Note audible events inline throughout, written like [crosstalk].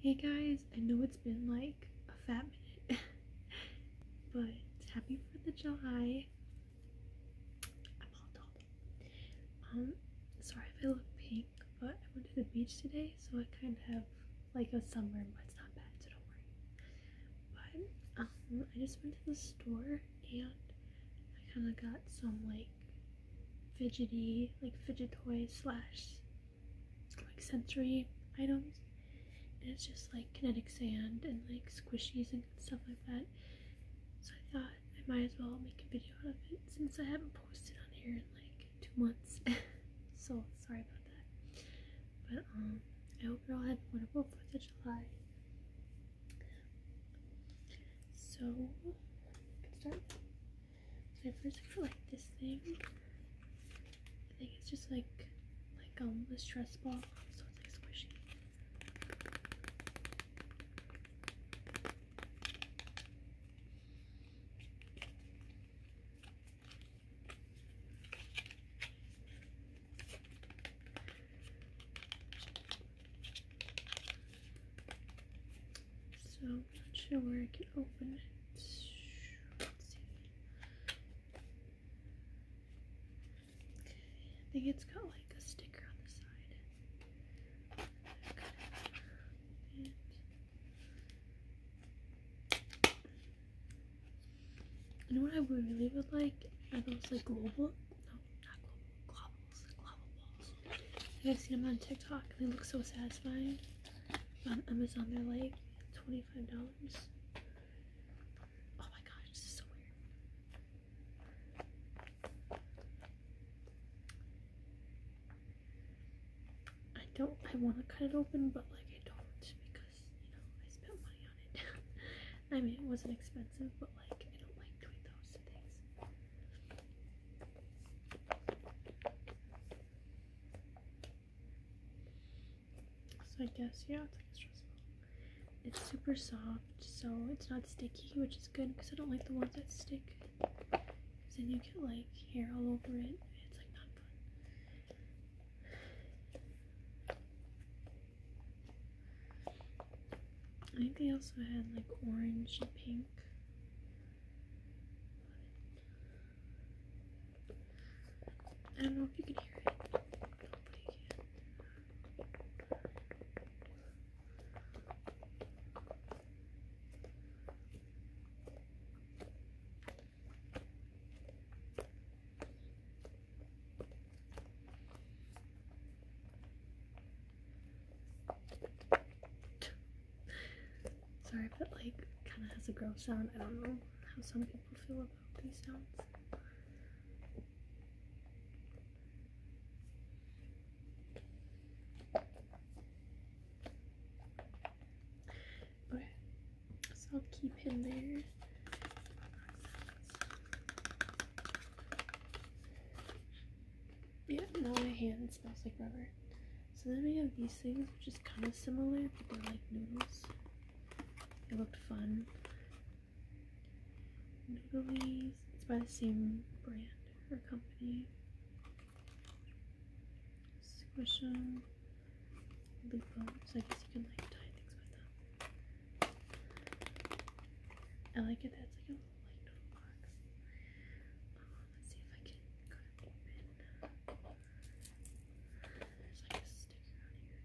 Hey guys, I know it's been like a fat minute, [laughs] but happy 4th of July. I'm all dolled Um, sorry if I look pink, but I went to the beach today, so I kind of have like a sunburn, but it's not bad, so don't worry. But, um, I just went to the store and I kind of got some like fidgety, like fidget toys slash like sensory items. And it's just like kinetic sand and like squishies and stuff like that. So I thought I might as well make a video out of it since I haven't posted on here in like two months. [laughs] so sorry about that. But um I hope you all had a wonderful 4th of July. So, start. So I first got like this thing. I think it's just like like um a stress ball, so it's like squishy. So I'm not sure where I can open it. Okay, I think it's got like a sticker on the side. And you know what I really would like? Are those like global? No, not global. Globbles. Global I've seen them on TikTok and they look so satisfying on Amazon. They're like $25. Oh my gosh, this is so weird. I don't, I want to cut it open, but like I don't because, you know, I spent money on it. [laughs] I mean, it wasn't expensive, but like I don't like doing those things. So I guess yeah, it's like stressful. It's super soft, so it's not sticky, which is good because I don't like the ones that stick. Because then you get like hair all over it. It's like not fun. I think they also had like orange and pink. I don't know if you can hear it. Nobody can. Sorry if it like kind of has a gross sound. I don't know how some people feel about these sounds. Okay, so I'll keep him there yeah, now my hand smells like rubber. So then we have these things, which is kind of similar, but they're like noodles. They looked fun. Noodles. It's by the same brand or company. Squish them. Loop them. So I guess you can like tie things with them. I like it that it's like a little like noodle box let's see if I can cut it open. There's like a sticker on here.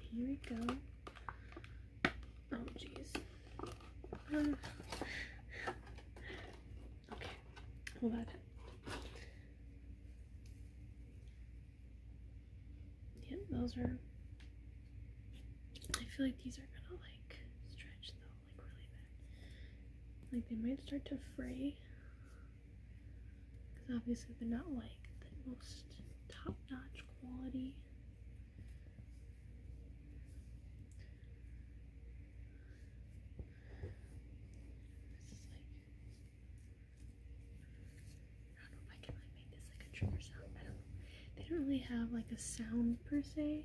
Here we go. Oh, jeez. Okay, hold on. Yep, those are. I feel like these are gonna like stretch though, like really bad. Like they might start to fray. Because obviously they're not like the most top notch quality. This is like. I don't know if I can like make this like a trigger sound. I don't know. They don't really have like a sound per se.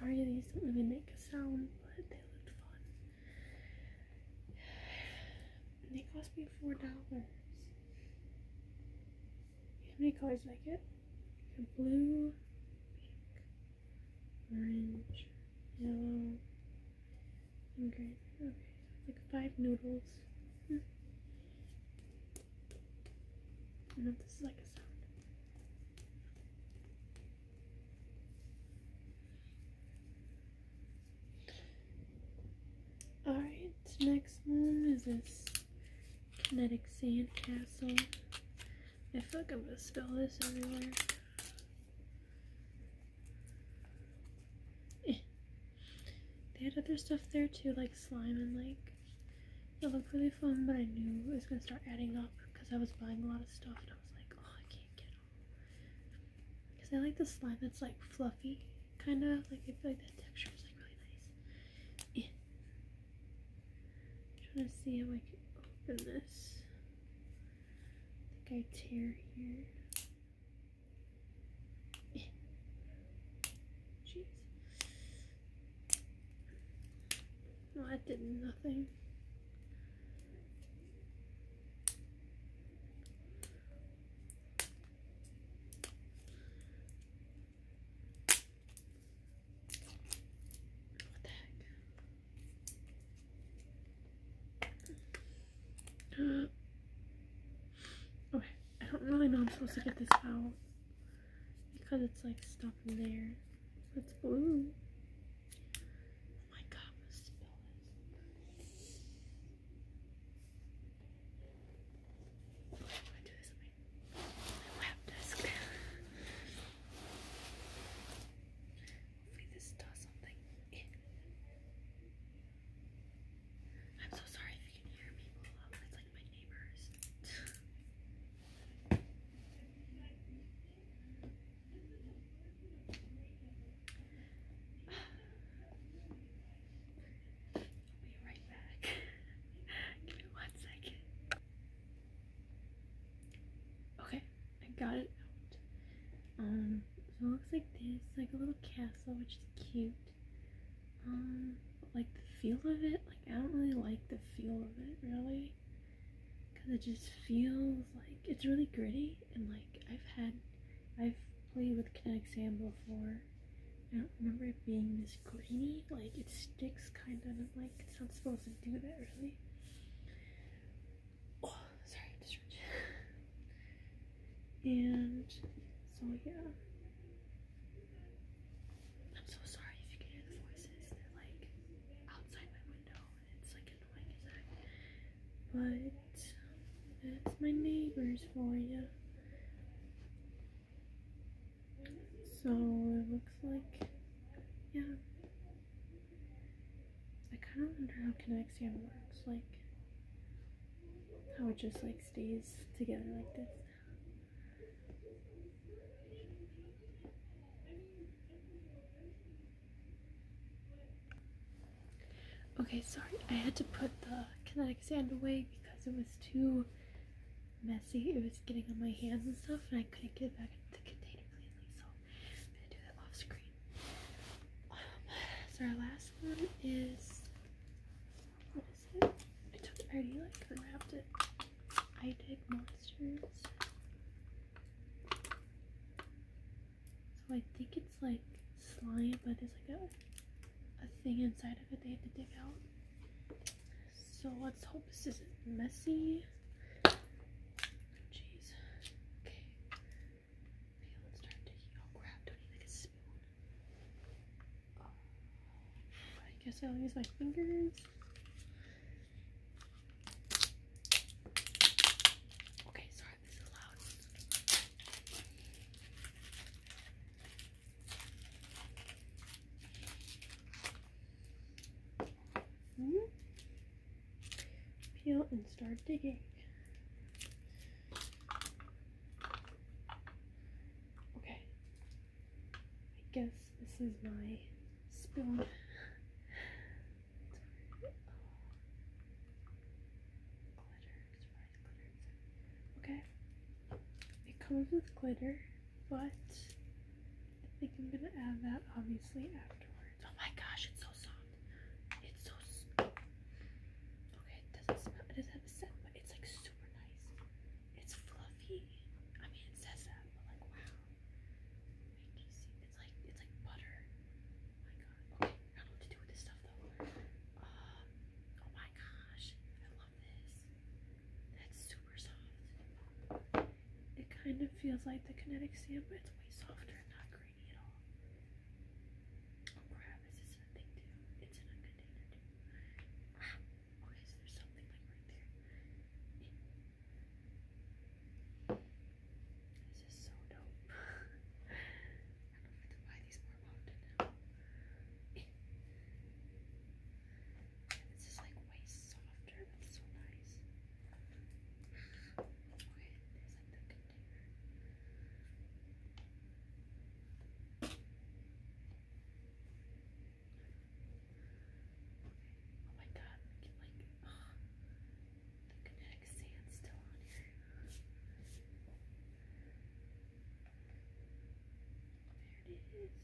sorry these don't really make a sound, but they looked fun. [sighs] They cost me four dollars. How many colors did I get? Blue, pink, orange, yellow, and green. Okay, like five noodles. Hmm. I know this is like a sound. Alright, next one is this Kinetic sand castle. I feel like I'm gonna spill this everywhere. Eh. They had other stuff there too, like slime and like it looked really fun, but I knew it was gonna start adding up because I was buying a lot of stuff and I was like, oh, I can't get it all. Because I like the slime that's like fluffy, kind of like I feel like that texture is like really nice. I'm trying to see how I can open this. I think I tear here. In. Jeez. No, that did nothing. Okay, I don't really know I'm supposed to get this out because it's like stuck in there. It's blue. Oh my god, my I'm so sorry if you can hear people. it's like my neighbors. [sighs] I'll be right back. [laughs] Give me one second. Okay, I got it out. Um, so it looks like this, like a little castle, which is cute. Um, like the feel of it, like I don't really like the feel of it really. Cause it just feels like it's really gritty and like I've had I've played with Kinetic Sand before I don't remember it being this grainy. Like it sticks kind of. like, it's not supposed to do that, really. Oh, sorry, i And so yeah, I'm so sorry if you can hear the voices. They're like outside my window, and it's like annoying as heck. But that's my neighbors for you. So it looks like, yeah. I kind of wonder how kinetic sand works, like how it just like stays together like this. Okay, sorry, I had to put the kinetic sand away because it was too messy. It was getting on my hands and stuff, and I couldn't get it back into the container cleanly, so i gonna do that off screen. Um, so our last one is what is it? I already like unwrapped it. I did monsters. So I think it's like slime, but there's like a a thing inside of it they have to dig out. So let's hope this isn't messy. Jeez. Okay. Okay, let's start taking. Oh Don't need like a spoon. Oh, I guess I'll use my fingers. Okay, sorry, this is loud. Mm-hmm. Peel and start digging. Okay. I guess this is my spoon. [laughs] Okay, it comes with glitter but I think I'm gonna add that obviously afterwards. Oh my gosh, it's so soft. It's so okay. It doesn't smell. It doesn't scent, but it's like super nice. It's fluffy. I mean, it says that, but like wow. Like, you see, it's like it's like butter. Oh my god. Okay, I don't know what to do with this stuff though. Um, oh my gosh, I love this. That's super it kind of feels like the kinetic sand, but it's way softer and not grainy at all. Oh crap, is this in too? It's in a container too. Ah, okay, so something like right there. This is so dope. [laughs] I don't know if buy these more often now. Yeah, this is like way softer. It's so nice. Okay, there's like the container. Oh my god, like the kinetic sand's still on here. There it is. There's the big old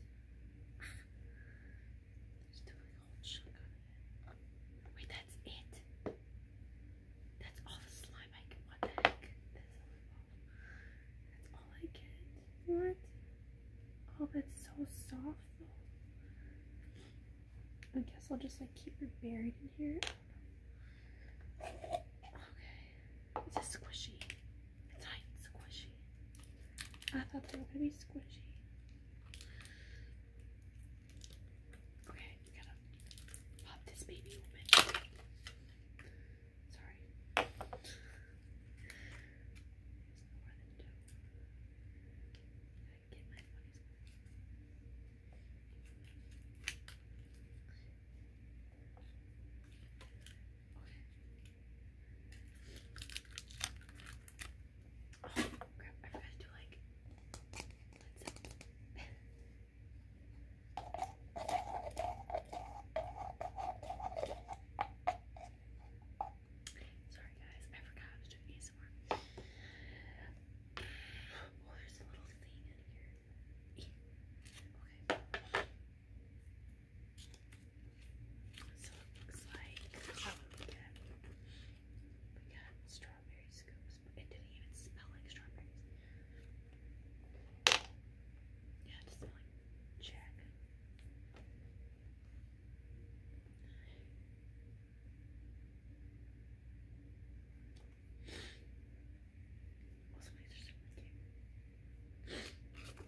chunk it. Wait, that's it. That's all the slime I can. What the heck? That's all, that's all I get. What? Oh, that's so soft though. I guess I'll just like keep her buried in here. Okay. It's a squishy. It's not squishy. I thought they were gonna be squishy. Okay, gotta pop this baby open. Sorry. Oh crap, I forgot to do like Sorry guys, I forgot how to do ASMR. Oh, there's a little thing in here. Okay. So it looks like oh, we got we it didn't even smell like strawberries. Yeah, it smelled like Jack. Also, these are Take from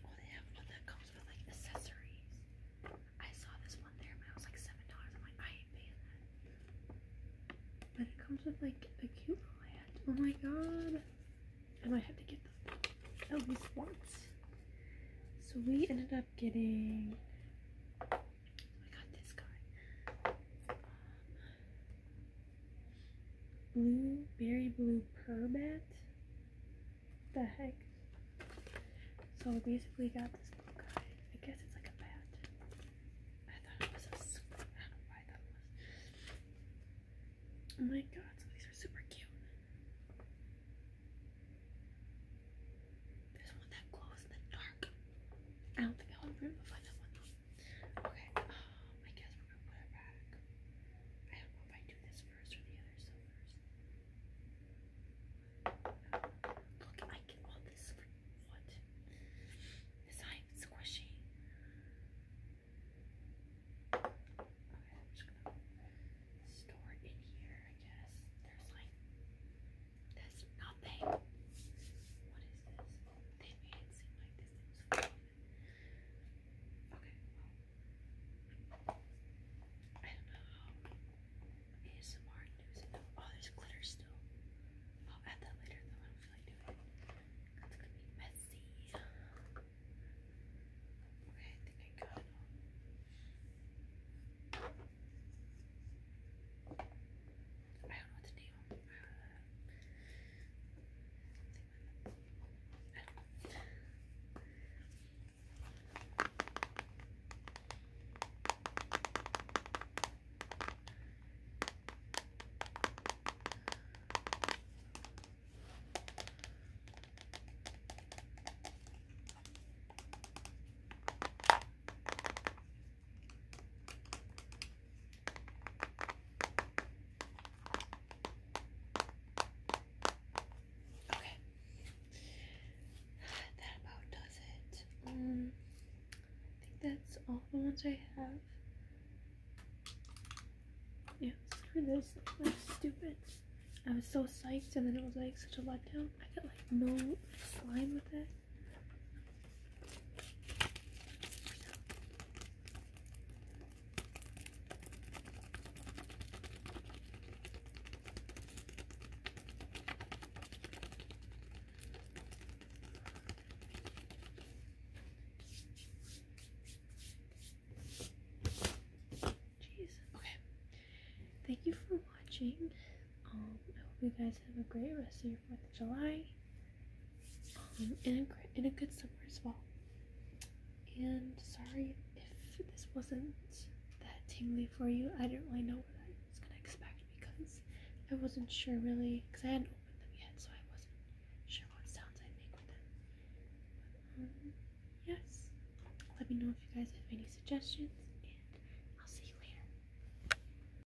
Oh, they have one oh, that comes with like accessories. I saw this one there, and it was like seven dollars. I'm like, I ain't paying that. But it comes with like a cute little Oh my god! I might have to get at least once. So we ended up getting I got this guy. blue, berry blue perbat. What the heck? So I basically got this blue guy. I guess it's like a bat. I thought it was a super, I don't know why I was. Oh my god, so these are super cute. There's one that glows in the dark. I don't think I would to find that one though. Okay, um, I guess we're gonna put it back. I don't know if I do this first or the other stuff first. Look, I get all this what? It's not even squishy. Okay, I'm just gonna store it in here, I guess. There's like that's nothing. What is this? They made it seem like this thing was fun. Okay, I don't know how ASMR news it though. Oh, there's glitter still. I'll add that later though. I don't feel like doing That's gonna be messy. Okay, I think I got it I don't know the name Okay. [sighs] That about does it. Um, I think that's all the ones I have. Yeah, screw this. That's stupid. I was so psyched and then it was like such a letdown. I got like no slime with it. Okay. Thank you for watching. Um, I hope you guys have a great rest of your 4th of July um, and, a, and a good summer as well. And sorry if this wasn't that tingly for you. I didn't really know what I was going to expect because I wasn't sure really because I hadn't opened them yet, so I wasn't sure what sounds I'd make with them. But, um, yes, let me know if you guys have any suggestions. and I'll see you later.